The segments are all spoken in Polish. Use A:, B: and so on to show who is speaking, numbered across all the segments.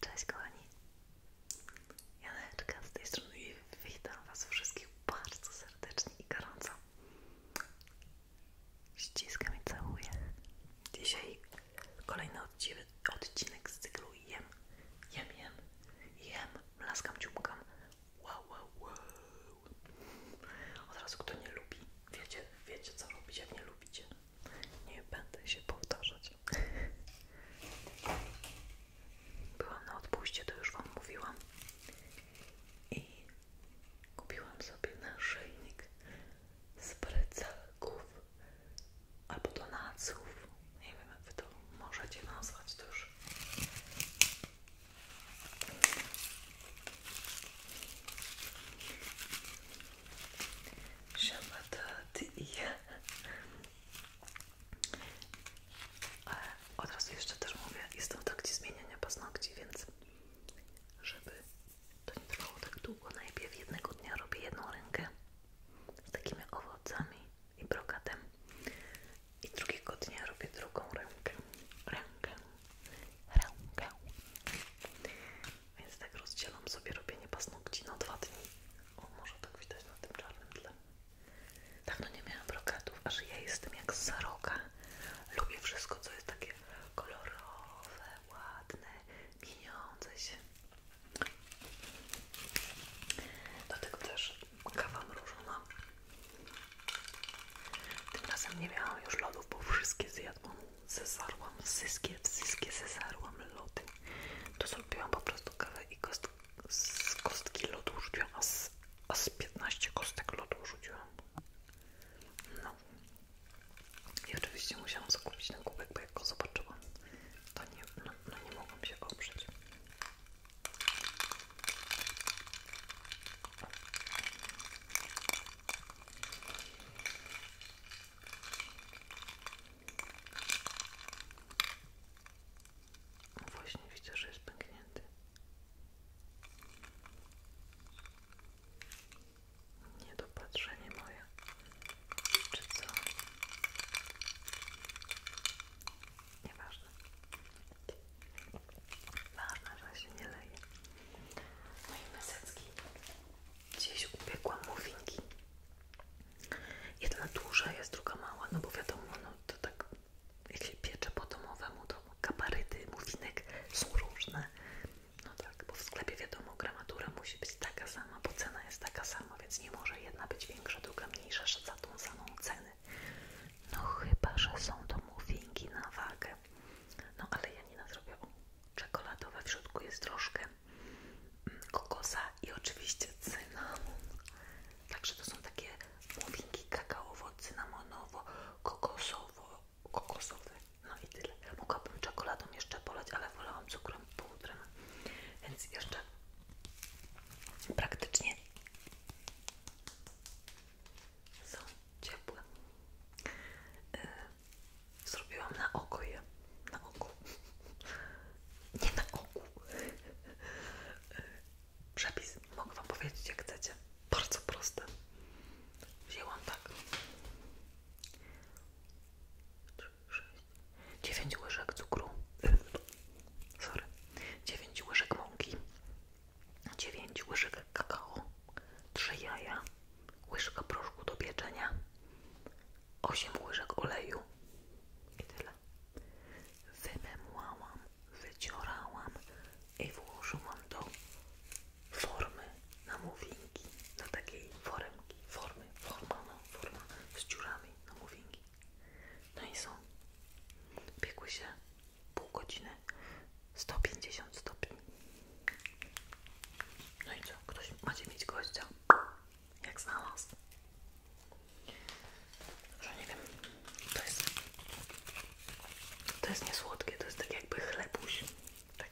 A: Cześć kochani, Janeczka z tej strony i witam Was wszystkich bardzo serdecznie i gorąco. Ściskam i całuję. Dzisiaj kolejny odcinek z cyklu Jem, Jem, Jem, Jem, laskam, ciumkam. Wow, wow, wow. Od razu kto nie lubi, wiecie, wiecie co robić, a mnie lubicie. Nie będę się powtarzać. Byłam na odpuście, to już Wam mówiłam. I kupiłam sobie naszyjnik z precelków albo donaców. Nie wiem, jak Wy to możecie nazwać to już szabatot i od razu jeszcze też mówię, jestem w trakcie zmieniania paznokci, więc żeby to nie trwało tak długo, najpierw jednego dnia robię jedną rękę z takimi owocami i brokatem i drugiego dnia robię drugą rękę, rękę, rękę więc tak rozdzielam sobie robienie paznokci na dwa dni. O, może tak widać na tym czarnym tle. Tak, no nie miałam brokatów, aż ja jestem jak z zaroka. Lubię wszystko, co jest takie kolorowe, ładne, mieniące się. Do tego też kawa mrożona. Tym razem nie miałam już lodów, bo wszystkie zjadłam zezarłam zyskie, zyskie zezarłam lody. To zrobiłam po prostu kawę i z kostki lodu rzuciłam, a z, a 15 kostek lodu rzuciłam. No. I oczywiście musiałam zakupić ten kubek, bo jak go zobaczyłam, to nie, no, no nie mogłam się oprzeć. Właśnie widzę, że jest pęknięty. Niedopatrzenie moje. Czy co? Nieważne. Ważne, że się nie leje. Moje mesecki Gdzieś upiekłam muffinki. Jedna duża jest, druga mała, no bo wiadomo, no to tak jak się piecze po domowemu, to kabaryty muffinek są różne. No tak, bo w sklepie wiadomo, gramatura musi być taka sama, bo cena jest taka sama, więc nie może jedna być większa, druga mniejsza za tą samą cenę. No chyba, że są to muffinki na wagę. No ale ja nie zrobię. Czekoladowe w środku jest troszkę kokosa i oczywiście cynamon. Także to są takie muffinki kakaowo-cynamonowo-kokosowo kokosowe. No i tyle. Mogłabym czekoladą jeszcze polać, ale wolałam cukrem pudrem. Więc jeszcze praktycznie są ciepłe. Y, Zrobiłam na oko je. Na oku. Nie na oku. Przepis mogę Wam powiedzieć, jak chcecie. Bardzo proste. Wzięłam tak. 3, 9 łyżek cukru. Sorry. 9 łyżek mąki. 9 łyżek kakao. 3 jaja. Łyżka proszku do pieczenia. 8 łyżek oleju i tyle. Wymemłałam, wyciorałam i włożyłam do formy na mowinki, do takiej foremki, formy, forma, no, forma z dziurami na mowinki. No i są. Piekły się pół godziny, 150 stopni. No i co? Ktoś macie mieć gościa jak znalazł. Że nie wiem, to jest, to jest niesłodkie, to jest tak jakby chlebuś. Taki,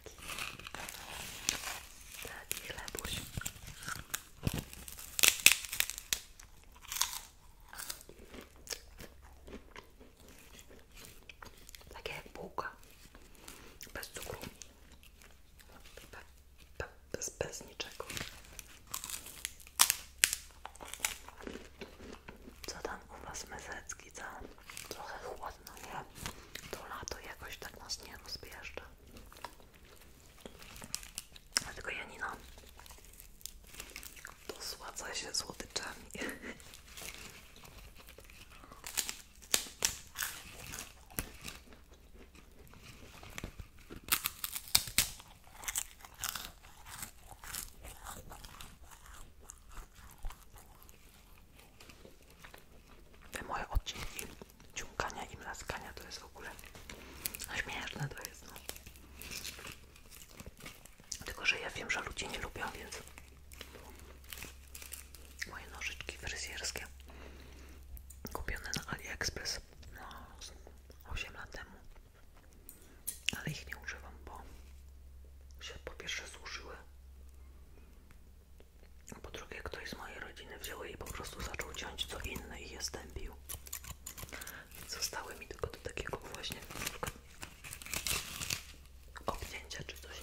A: taki Takie jak bułka, bez cukru bez, bez niczego. Co tam u Was mesecki, co? Trochę chłodno, nie? To lato jakoś tak nas nie rozbieżdża. Dlatego Janina dosładza się słodyczami. Te moje odcinki ciągania i mlaskania to jest w ogóle śmieszne to jest. No. Tylko, że ja wiem, że ludzie nie lubią, więc moje nożyczki fryzjerskie kupione na AliExpress no, 8 lat temu ale ich nie używam, bo się po pierwsze zużyły po drugie ktoś z mojej rodziny wziął i po prostu zaczął ciąć co inne i je stępił więc zostały mi tylko do takiego właśnie obcięcia czy coś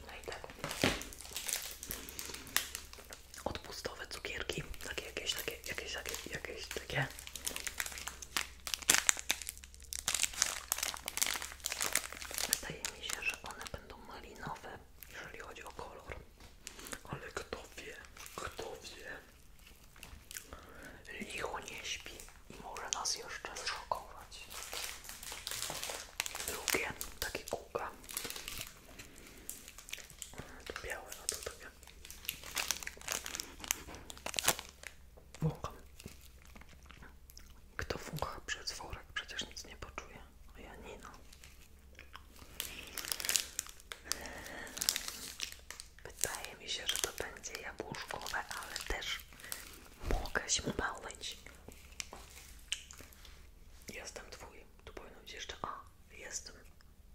A: No tak. Odpustowe cukierki, takie jakieś, takie, jakieś, takie, jakieś takie. Wydaje mi się, że one będą malinowe, jeżeli chodzi o kolor. Ale kto wie, kto wie. Licho nie śpi i może nas jeszcze zszokować. Drugie, taki kółka. To na no a to takie. Wącham. Kto wącha przez worek? Przecież nic nie poczuje. A ja nie no. Wydaje mi się, że to będzie jabłuszkowe, ale też mogę się mylić. Jestem twój. Tu powinno być jeszcze a. Jestem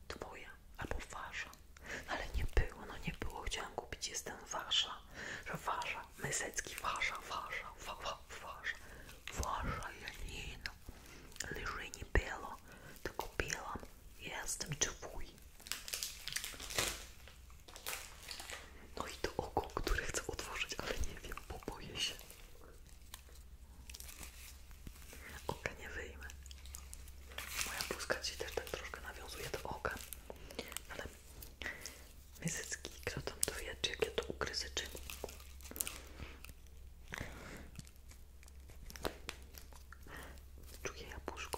A: twoja albo wasza. Ale nie było, no nie było. chciałem kupić jestem wasza. Że wasza. Mysecki wasza, wasza, wa, wa, wasza. Wasza Janina. Ale nie było, to kupiłam. Jestem twój. No i to oko, które chcę otworzyć, ale nie wiem, bo boję się. Oka nie wyjmę. Moja bluzka ci też tak troszkę nawiązuje do oka. Ale mysycki, kto tam to wie, czy ja to ukryzyczy. Czuję jabłuszko.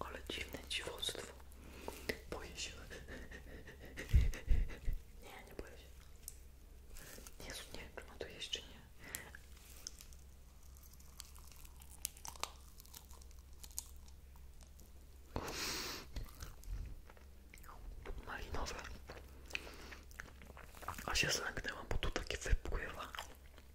A: Ale dziwne dziwostwo. Boję się. Nie, nie boję się. Jezu, nie wiem, czy ma jeszcze nie. Malinowe. A się zlęknęłam, bo tu takie wypływa.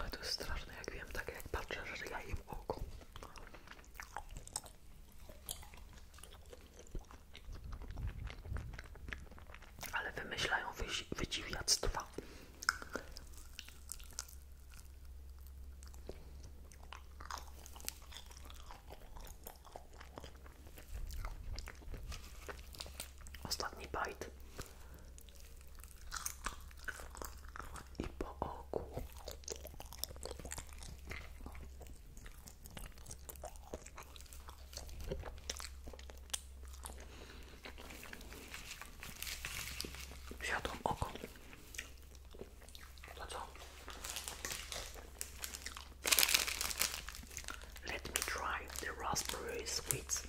A: Ale to jest straszne, jak wiem, tak jak patrzę, że ja im oko. Ale wymyślają wydziwiactwa. Ostatni bajt i po oku. Zjadłam oko. Let me try the raspberry sweets.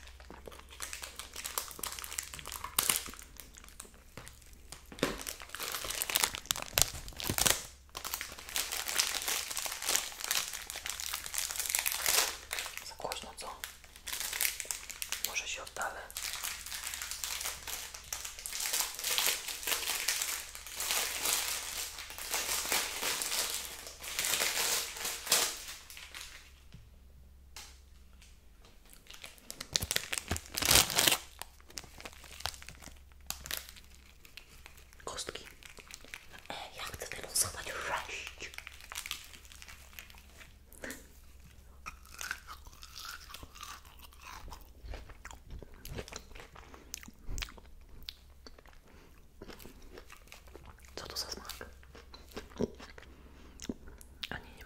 A: Za głośno, co? Może się oddalę. Kostki. E, ja chcę wylosować sześć. Co to za smak? A nie, nie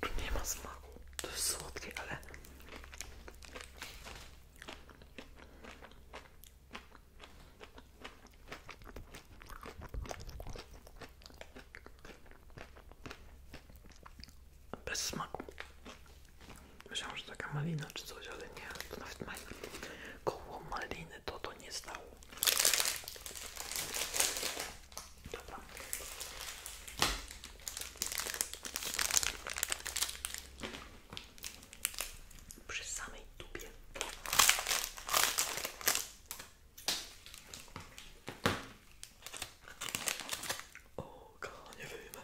A: Tu nie ma smaku. To jest słodkie, ale... Bez smaku. Myślałam, że taka malina czy coś, ale nie. To nawet ma... koło maliny to to nie stało. Dobra. Przy samej dupie. O, nie wyjmę.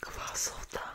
A: Kwasota.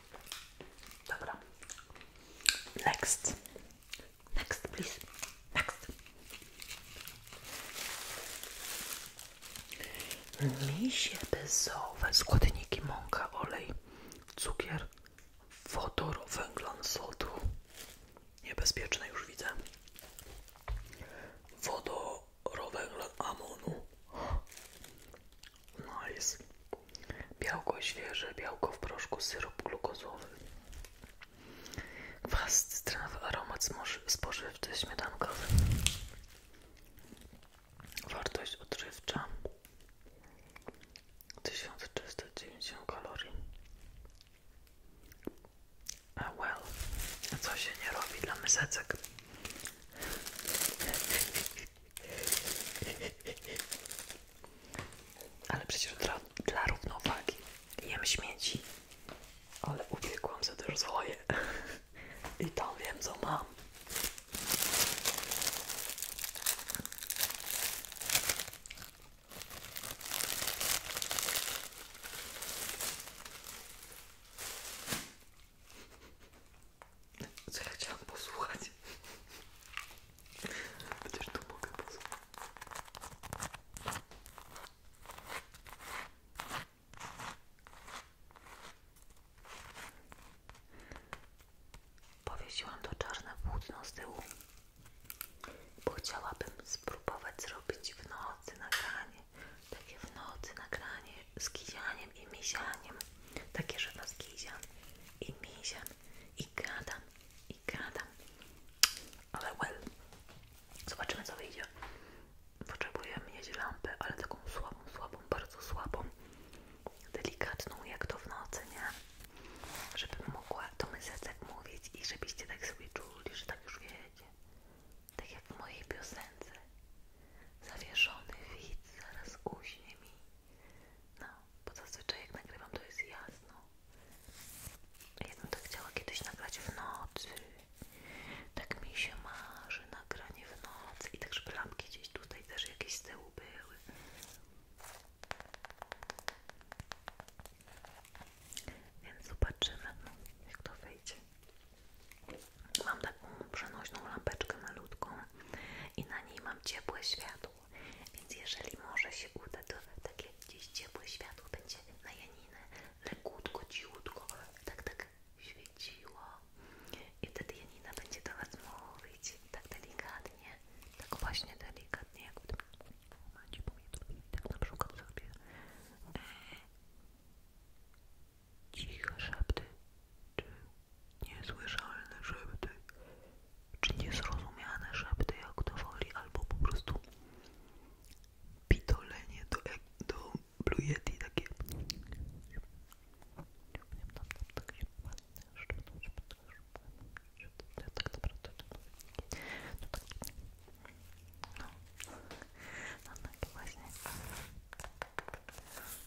A: Dobra. Next. Next, please. Next. Misie bezowe, składniki mąka, olej, cukier, wodór, węglan sodu. Niebezpieczne już widzę. Wodorowęglan amonu. Nice. Białko świeże, białko w proszku, syrop glukozowy. Kwas cytrynowy, aromat spożywczy, śmietankowy. Wartość odżywcza 1390 kalorii. A well, co się nie robi dla mysecek? Ale przecież dla, dla równowagi jem śmieci, ale upiekłam sobie też i tam wiem co mam co ja chciałam posłuchać. Przecież tu mogę posłuchać. Powiesiłam to czarne płótno z tyłu, bo chciałabym spróbować zrobić w nocy nagranie, takie w nocy nagranie, skijanie i Misianiem. Takie, że was Gizian i Misian i gadam, i gadam. Ale well, zobaczymy co wyjdzie. Potrzebuję mieć lampę, ale taką słabą, słabą, bardzo słabą. Delikatną jak to w nocy, nie? Żebym mogła to do tak mówić i żebyście tak sobie czuli, że tak już wiecie. Tak jak w mojej piosence. Zawieszony widz zaraz uśnie mi. No, bo zazwyczaj jak nagrywam to jest jasno. Ja bym to chciała kiedyś nagrać w nocy. Tak mi się marzy nagranie w nocy. I tak, żeby lampki gdzieś tutaj też jakieś z tyłu były. Więc zobaczymy, jak to wyjdzie. Mam taką przenośną lampeczkę malutką i na niej mam ciepłe światło, więc jeżeli może się uda, to takie gdzieś ciepłe światło będzie na Janinę lekutko, ciutko, tak, tak świeciło i wtedy Janina będzie do mówić tak delikatnie, tak właśnie delikatnie, jak w tym momencie tak na przykład sobie cicho szepty czy niesłyszalne szepty, czy niezrozumiane szepty, jak to woli, albo po prostu pitolenie do, do Blue Yeti, takie no, no tak właśnie.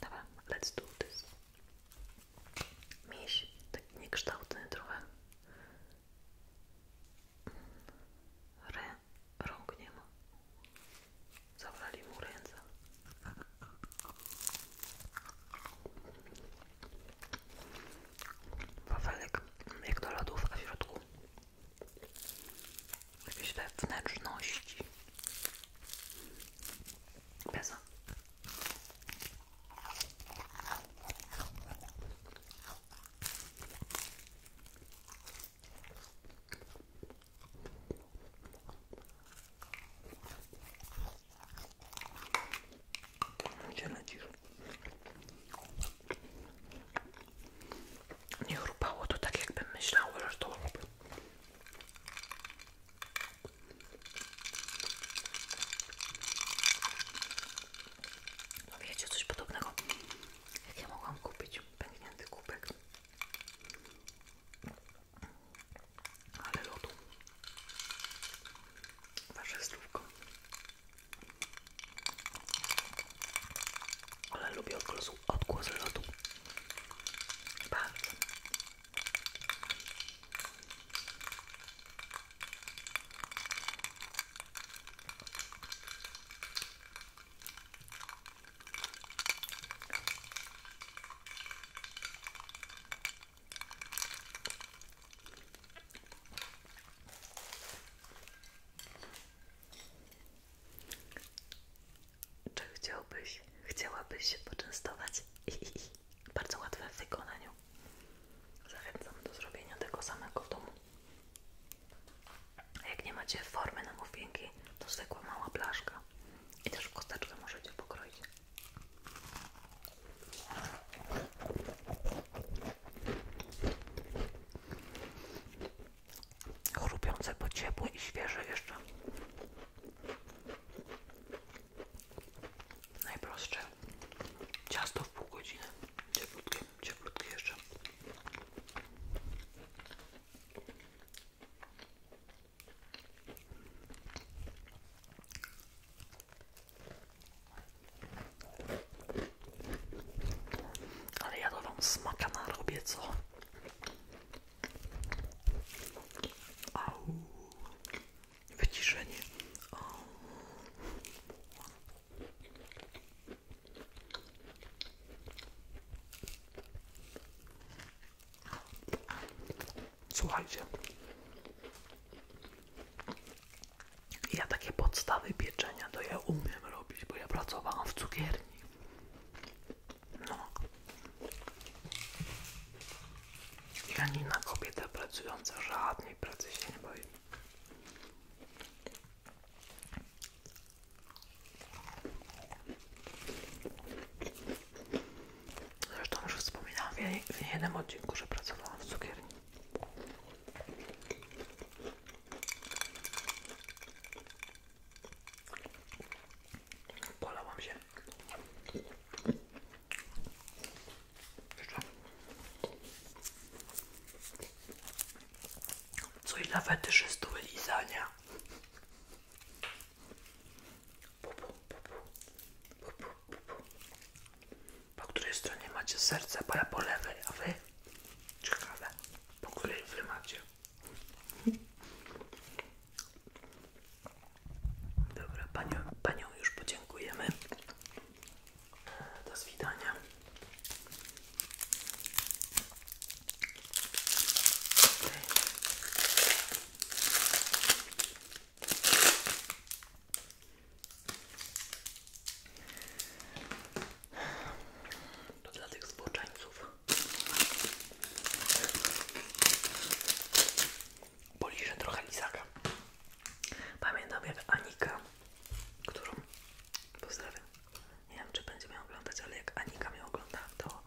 A: Dobra, let's do this miś taki niekształtny trochę Ry, rąk nie ma zabrali mu ręce wafelek jak do lodów, a w środku jakieś te wnętrzności Bezo. Gdzie lecisz? Nie chrupało to tak, jakbym myślała, że to no wiecie, coś podobnego jak ja mogłam kupić pęknięty kubek ale lodu wasze zdrówko ale lubię odgłos, odgłos lodu bardzo czy chciałbyś, chciałabyś się poczęstować? I, bardzo łatwe w wykonaniu. Zachęcam do zrobienia tego samego w domu. A jak nie macie formy na muffinki, to zwykła mała blaszka. I też w kosteczkę możecie pokroić. Chrupiące, po ciepłe i świeże jeszcze. Najprostsze ciasto w pół godziny. Cieplutkie, cieplutkie jeszcze. Ale ja to wam smaka na robię, co? Au wyciszenie. O. Słuchajcie, ja takie podstawy pieczenia to ja umiem robić, bo ja pracowałam w cukierni. No na kobieta pracująca żadnej pracy się nie boi. Zresztą już wspominałam w jednym odcinku, że pracowałam w cukierni. Polałam się. Coś dla fetyszystów lizania. Pupu, pupu. Po której stronie macie serce? Bo ja po lewej, a wy? Ciekawe. Po której wy macie? Dobra, panią, panią już podziękujemy. Do zwidania. To dla tych zboczeńców poliżę trochę lizaka. Pamiętam jak Anika, którą pozdrawiam, nie wiem czy będzie mnie oglądać, ale jak Anika mnie ogląda, to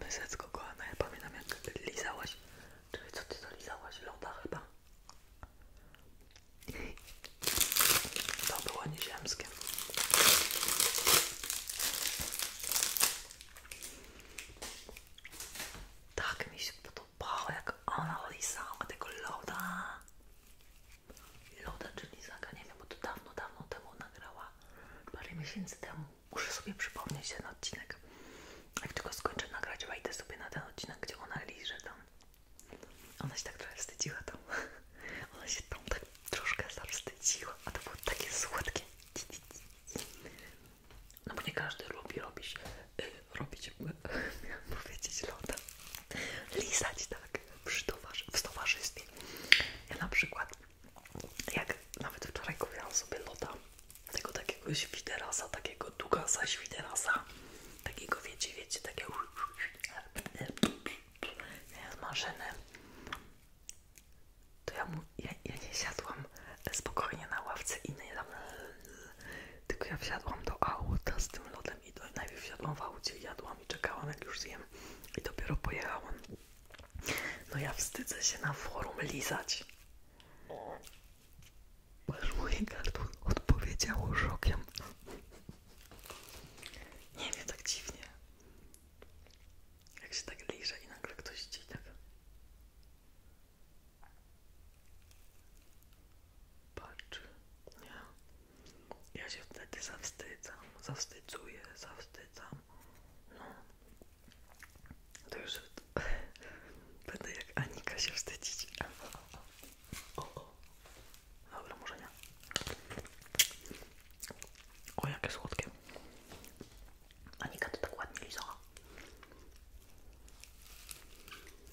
A: mysecko kochana, ja pamiętam jak lizałaś, czyli co ty to lizałaś, loda chyba? To było nieziemskie. Tak mi się podobało, jak ona lisała tego loda. Loda, czyli zaga, nie wiem, bo to dawno, dawno temu nagrała, parę miesięcy temu. Muszę sobie przypomnieć ten odcinek. Jak tylko skończę nagrać, wejdę sobie na ten odcinek, gdzie ona że tam. Ona się tak trochę wstydziła tam. Ona się tam tak troszkę zawstydziła, a to było takie słodkie. No bo nie każdy lubi robić, robić, miałam powiedzieć loda, lisać tak w towarzystwie. Ja na przykład, jak nawet wczoraj kupiłam sobie loda, tego takiego świderasa, takiego dugasa świderasa, takiego wiecie, wiecie, takiego z maszyny, to ja mu ja, nie siadłam spokojnie na ławce i nie tam, tylko ja wsiadłam do auta z tym lodem i do, najpierw wsiadłam w aucie, jadłam i czekałam jak już zjem i dopiero pojechałam. No ja wstydzę się na forum lizać. Masz moje gardło odpowiedziało szokiem. Nie wiem, tak dziwnie. Jak się tak liza i nagle ktoś ci tak... Patrz, nie? Ja się wtedy zawstydzam, zawstydzuję, zawstydzam. No, to już będę jak Anika się wstydzić. O, o. Dobra, może nie. O, jakie słodkie. Anika to tak ładnie lizała.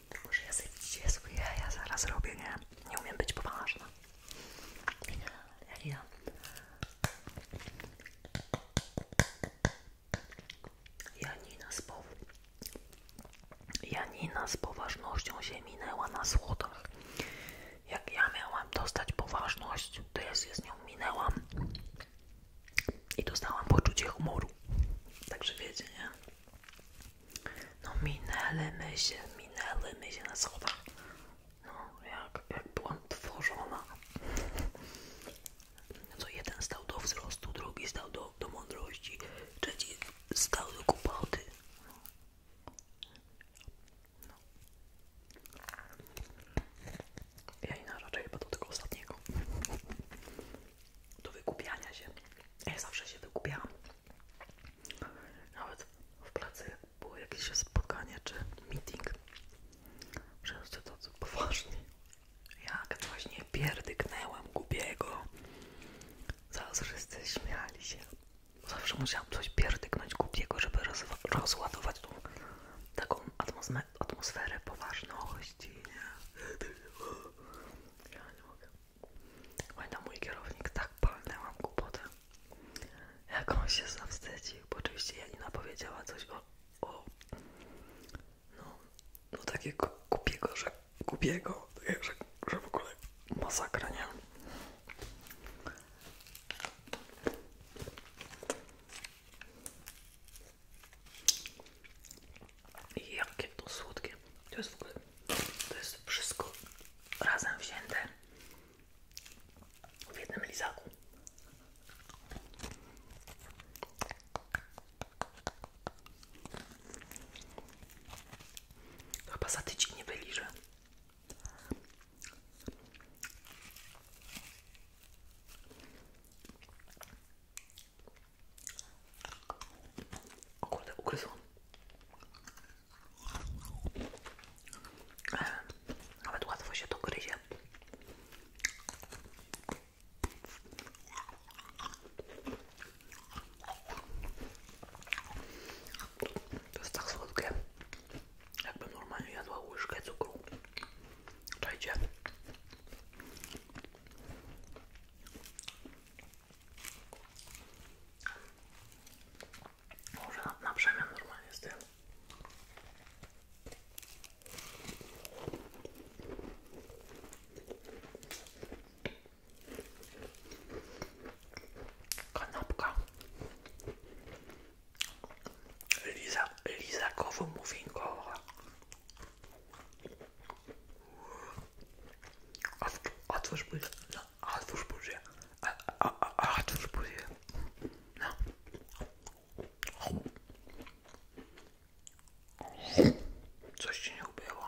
A: Tylko, że ja sobie dzisiaj swoje ja zaraz robię, nie? Nie umiem być poważna. Jak ja. Janina z, po... Janina z poważnością się minęła na słodach. Jak ja miałam dostać poważność, to ja z nią minęłam i dostałam poczucie humoru. Także wiecie, nie? No minęły my się, minęły my się na schodach. No jak, jak byłam tworzona. Co jeden stał do wzrostu, drugi stał do, do mądrości, trzeci stał do głupoty. No. No. Ja i chyba do tego ostatniego do wykupiania się. Ja zawsze się wykupiałam. Nawet w pracy było jakieś spotkanie czy meeting. że Wszyscy to co poważni. Jak właśnie pierdyknęłam gubiego. Zaraz wszyscy śmiali się. Zawsze musiałam coś pierdyknąć gubiego, żeby rozładować tą taką atmosferę poważności gościnie. Ja nie mogę. Oj, na mój kierownik tak palnęłam głupotę. Jak on się zawstydził, bo oczywiście Janina powiedziała coś o, o no, no takiego kupiego, że kupiego, że, że w ogóle masakra, nie? Jakie to słodkie. To jest w ogóle, jest wszystko razem wzięte w jednym lizaku. Chyba za tydzień o kurde, ugryzło. E, nawet łatwo się to gryzie. To jest tak słodkie, jakbym normalnie jadła łyżkę cukru. Czajcie. Może na, na przemian normalnie z tym. Kanapka. Liza, lizakowo-mufinkowa. Otwórz buzię. No, otwórz buzię. A, a, a, otwórz buzię. No. Coś ci nie ubyło.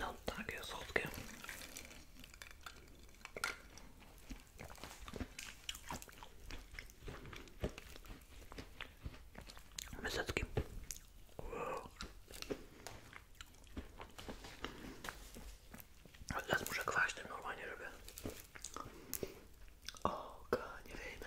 A: No takie słodkie. Mysetki. Wow. Ale teraz muszę kwaść normalnie, żeby... O, nie wyjdę.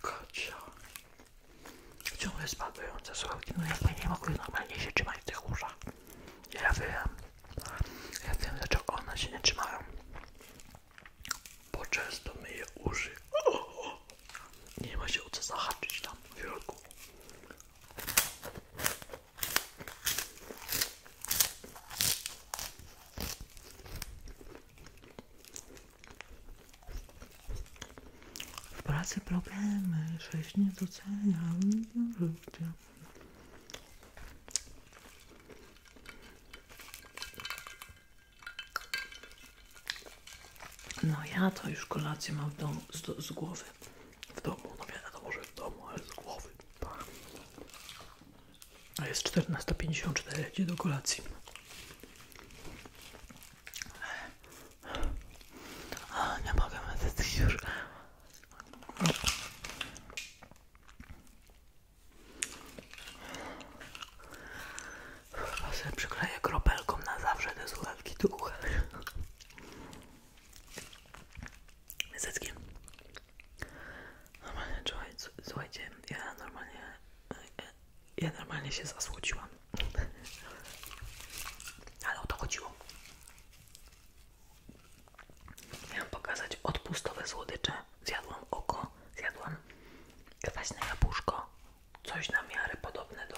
A: Kocia. Ciągle spadające sławki, no jakby nie mogły normalnie się trzymać tych uszach. Ja wiem. Ja wiem dlaczego one się nie trzymają. Bo często myję uszy. O, o. Nie ma się o co zahaczyć tam w środku. W pracy problemy, sześć nie docenia życia. No ja to już kolację mam w domu, z, głowy. W domu, no wiadomo, że w domu, ale z głowy. A jest czternaście pięćdziesiąt cztery. idzie do kolacji. A, nie mogę medycyć już. Chyba sobie przykleję kropelką na zawsze te słuchawki do ucha. Zycki. Normalnie, słuchajcie, ja normalnie, e, e, ja normalnie się zasłociłam. Ale o to chodziło. Chciałam pokazać odpustowe słodycze. Zjadłam oko, zjadłam kwaśne jabłuszko, coś na miarę podobne do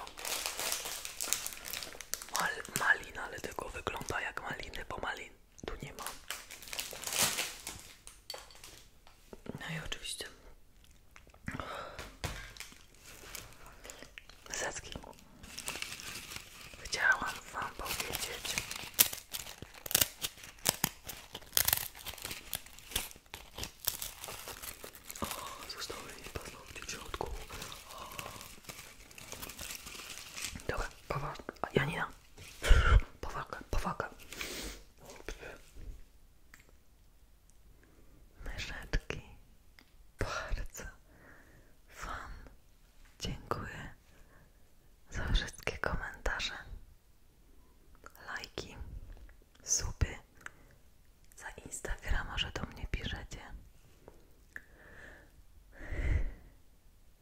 A: mal, malin, ale tylko wygląda jak maliny, bo malin tu nie ma. No i oczywiście Zacki. Chciałam Wam powiedzieć, o, zostały mi paznokcie w środku. O. Dobra, poważka. Janina. Powaga, powaga. Myszeczki. Bardzo fan. dziękuję za wszystkie komentarze, lajki, suby za Instagrama, że do mnie piszecie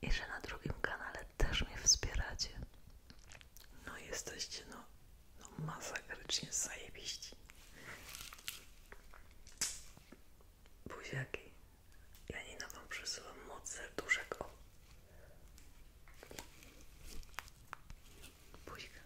A: i że na drugim kanale też mnie wspieracie. No jesteście no, no masakrycznie zajebiści. Buziaki. na Wam przesyłam moc serduszek. O. Buźka.